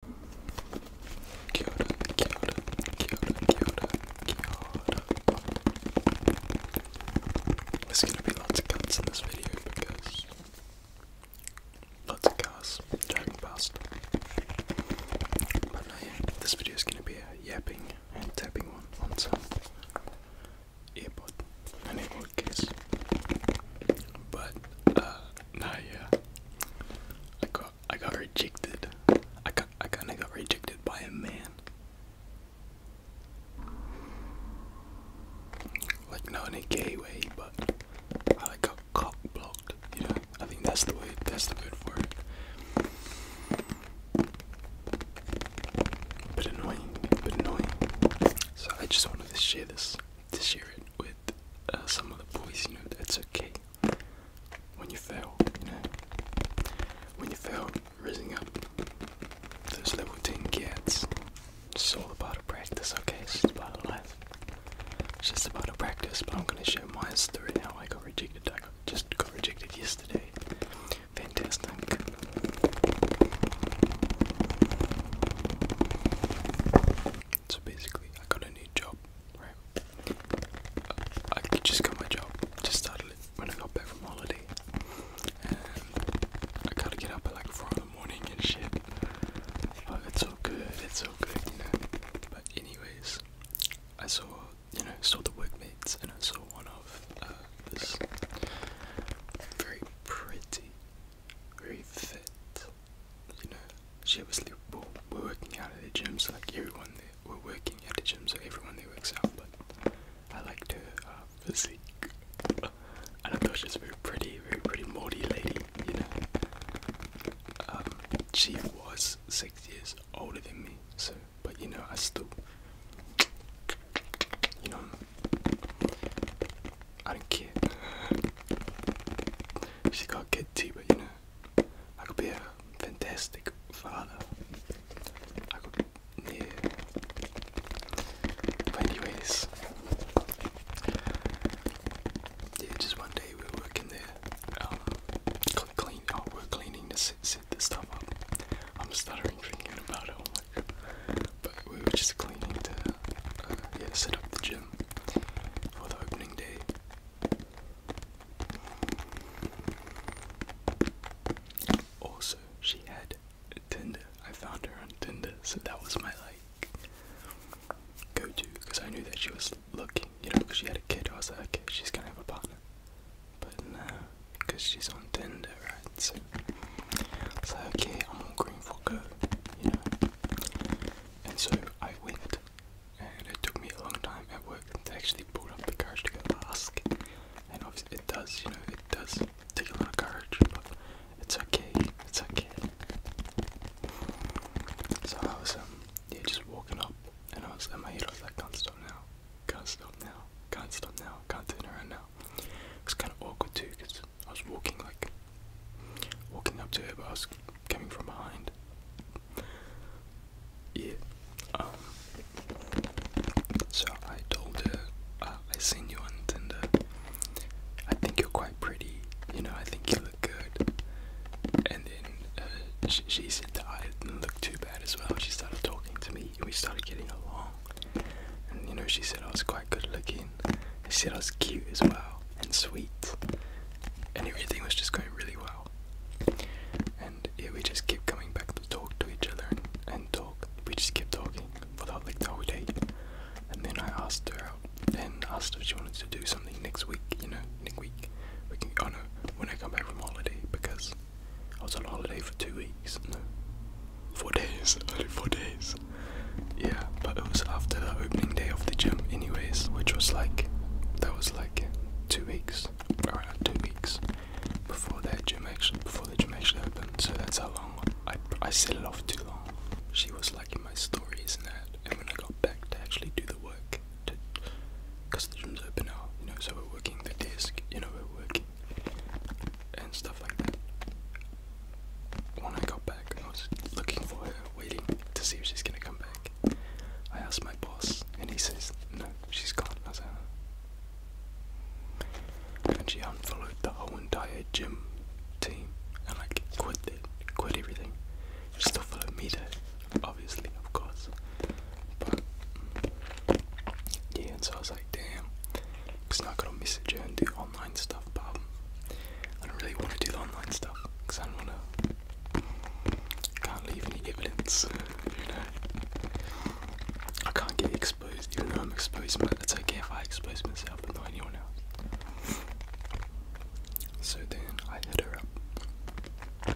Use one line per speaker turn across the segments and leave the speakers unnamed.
There's gonna be lots of cuts in this video because lots of cars driving past. But uh, this video is gonna be a yapping and tapping one on some earbud, an earbud case. But uh, Nah, yeah. I got I got rejected. I got I kinda got rejected by a man. Like not in a gay way, but I like got cock blocked, you know. I think that's the way that's the word for it. But annoying, but annoying. So I just wanted to share this to share it with uh, some of the boys, you know, that's okay. When you fail, you know, when you fail, raising up those level 10 kids, it's all about a practice, okay? It's just about a life. It's just about a practice, but I'm gonna share my story now. I got rejected. I just got rejected yesterday. Fantastic. So basically, I got a new job, right? I just got my job, just started it when I got back from holiday. And I gotta get up at like 4 in the morning and shit. But it's so good, it's so good, you know. But, anyways, I saw, you know, saw the workmates and I saw one of uh, this very pretty very fit. You know, she obviously were, were working out at the gym, so like everyone there were working at the gym, so everyone there works out. But I liked her uh, physique, and I thought she was very pretty, very pretty moldy lady. You know, um, she was six years older than me, so but you know I still, you know, I don't care. She got kid too, but you know, I could be a fantastic father. I could, yeah. But anyways, yeah, just one day we are working there. Um, clean. Oh, we're cleaning this, set this stuff up. I'm stuttering thinking about it. But we were just cleaning to uh, set up the gym for the opening day. Also, she had a Tinder. I found her on Tinder, so that was my like go to because I knew that she was looking, you know, because she had a kid. I was like, okay, she's gonna have a partner. But no, because she's on Tinder, right? So I was like, okay, I'm all green for go, And so I went, and it took me a long time at work to actually pull up the courage to go ask. And obviously, it does, you know, it does take a lot of courage, but it's okay, it's okay. So I was um just walking up and I was in my head I was like can't stop now can't stop now. Can't stop now. Can't turn around now. It's kind of awkward too because I was walking like walking up to her, but I was coming from behind. Yeah. Um, so I told her uh, I seen you on Tinder. I think you're quite pretty. You know, I think you look good. And then uh, she, she said that I didn't look too bad as well. She started talking to me we started getting along. And you know, she said I was quite good looking. She said I was cute as well and sweet. And everything was just going really well. And yeah, we just kept coming back to talk to each other and, talk. We just kept talking for the, like the whole day. And then I asked her out and asked if she wanted to do something next week, you know, next week. We can, oh no, when I come back from holiday because I was on holiday for two weeks. No, four days. Only four days. Yeah, but it was after the opening day of the gym, anyways, which was like, that was like two weeks, around two weeks before that gym actually, before the gym actually opened. So that's how long I I set it off too long. She was liking my stories and that, and when I got back to actually do the work, because the gym's open now, you know, so we're working the desk, you know, we're working and stuff like that. When I got back, I was looking for her, waiting to see if she's gonna come back. I asked my boss, and he says, No, she's gone. I was And she unfollowed the whole entire gym team and like quit it, quit everything still follow me though, obviously, of course. But yeah, so I was like, damn, it's not going gotta message her and do online stuff. But um, I don't really want to do the online stuff because I don't wanna. Can't leave any evidence, you know. I can't get exposed, even though I'm exposed. But it's okay if I expose myself, but not anyone else. So then I hit her up uh,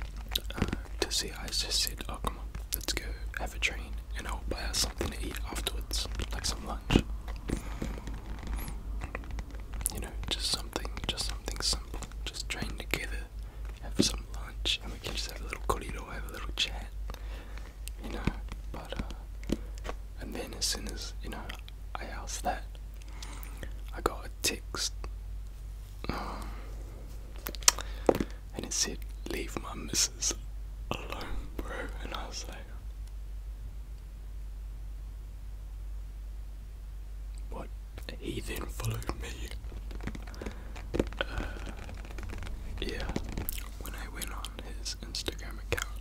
to see I just said, oh come on, let's go have a train and I'll buy us something to eat afterwards, like some lunch. You know, just something, just something simple. Just train together, have some lunch, and we can just have a little corridor, have a little chat. You know, but uh, and then as soon as you know I asked that. I got a text and it said, Leave my missus alone, bro. And I was like, What? He then followed me. Uh, yeah, when I went on his Instagram account,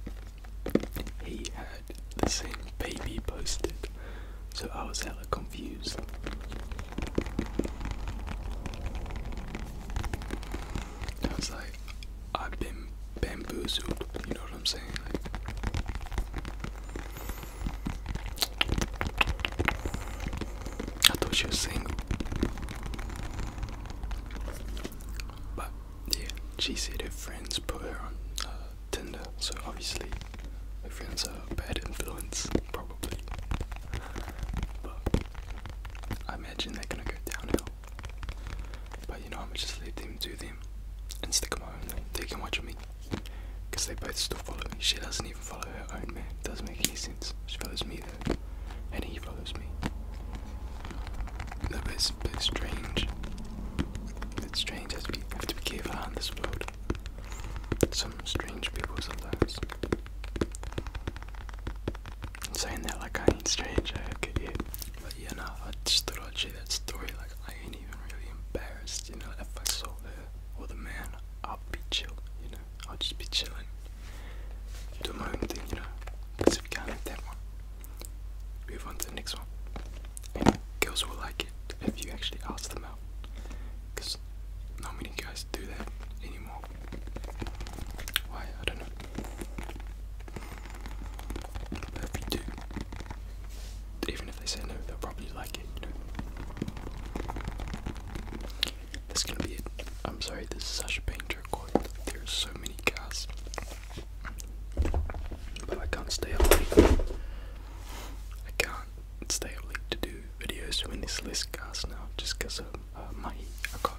he had the same baby posted, so I was hella confused. I was like, I've been bamboozled, you know what I'm saying? I thought she was single, yeah, she said her friends put her on uh, Tinder, so obviously her friends are a bad influence, probably. But I imagine they're gonna go downhill. But you know, I'ma just leave them to them and stick them own. They can watch me. Because they both still follow me. She doesn't even follow her own man. Doesn't make any sense. She follows me though. And he follows me. That a bit strange. It's strange as we have to be careful on this road. Some strange people sometimes. saying that like I ain't strange, I get you. But yeah, no, I just thought I'd share that story. Like, I ain't even really embarrassed, you know. If I saw her or the man, I'll be chill, you know. I'll just be chilling. Do my own thing, you know. Because if you can't Move on to the next one. And girls will like it if you actually ask them out. Because not many guys do that anymore. Why? I don't know. if you do, even if they say no, they'll probably like it, That's gonna be it. I'm sorry, this is such a pain there's so many cats. But I can't stay up late. I can't stay up late to do videos when it's less cast now, just because of uh, my I got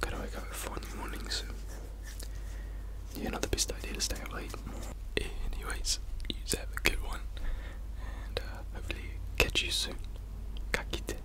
gotta wake up at four in the morning, so yeah, not the best idea to stay up late. Anyways, you have a good one, and uh, hopefully catch you soon. Kakite.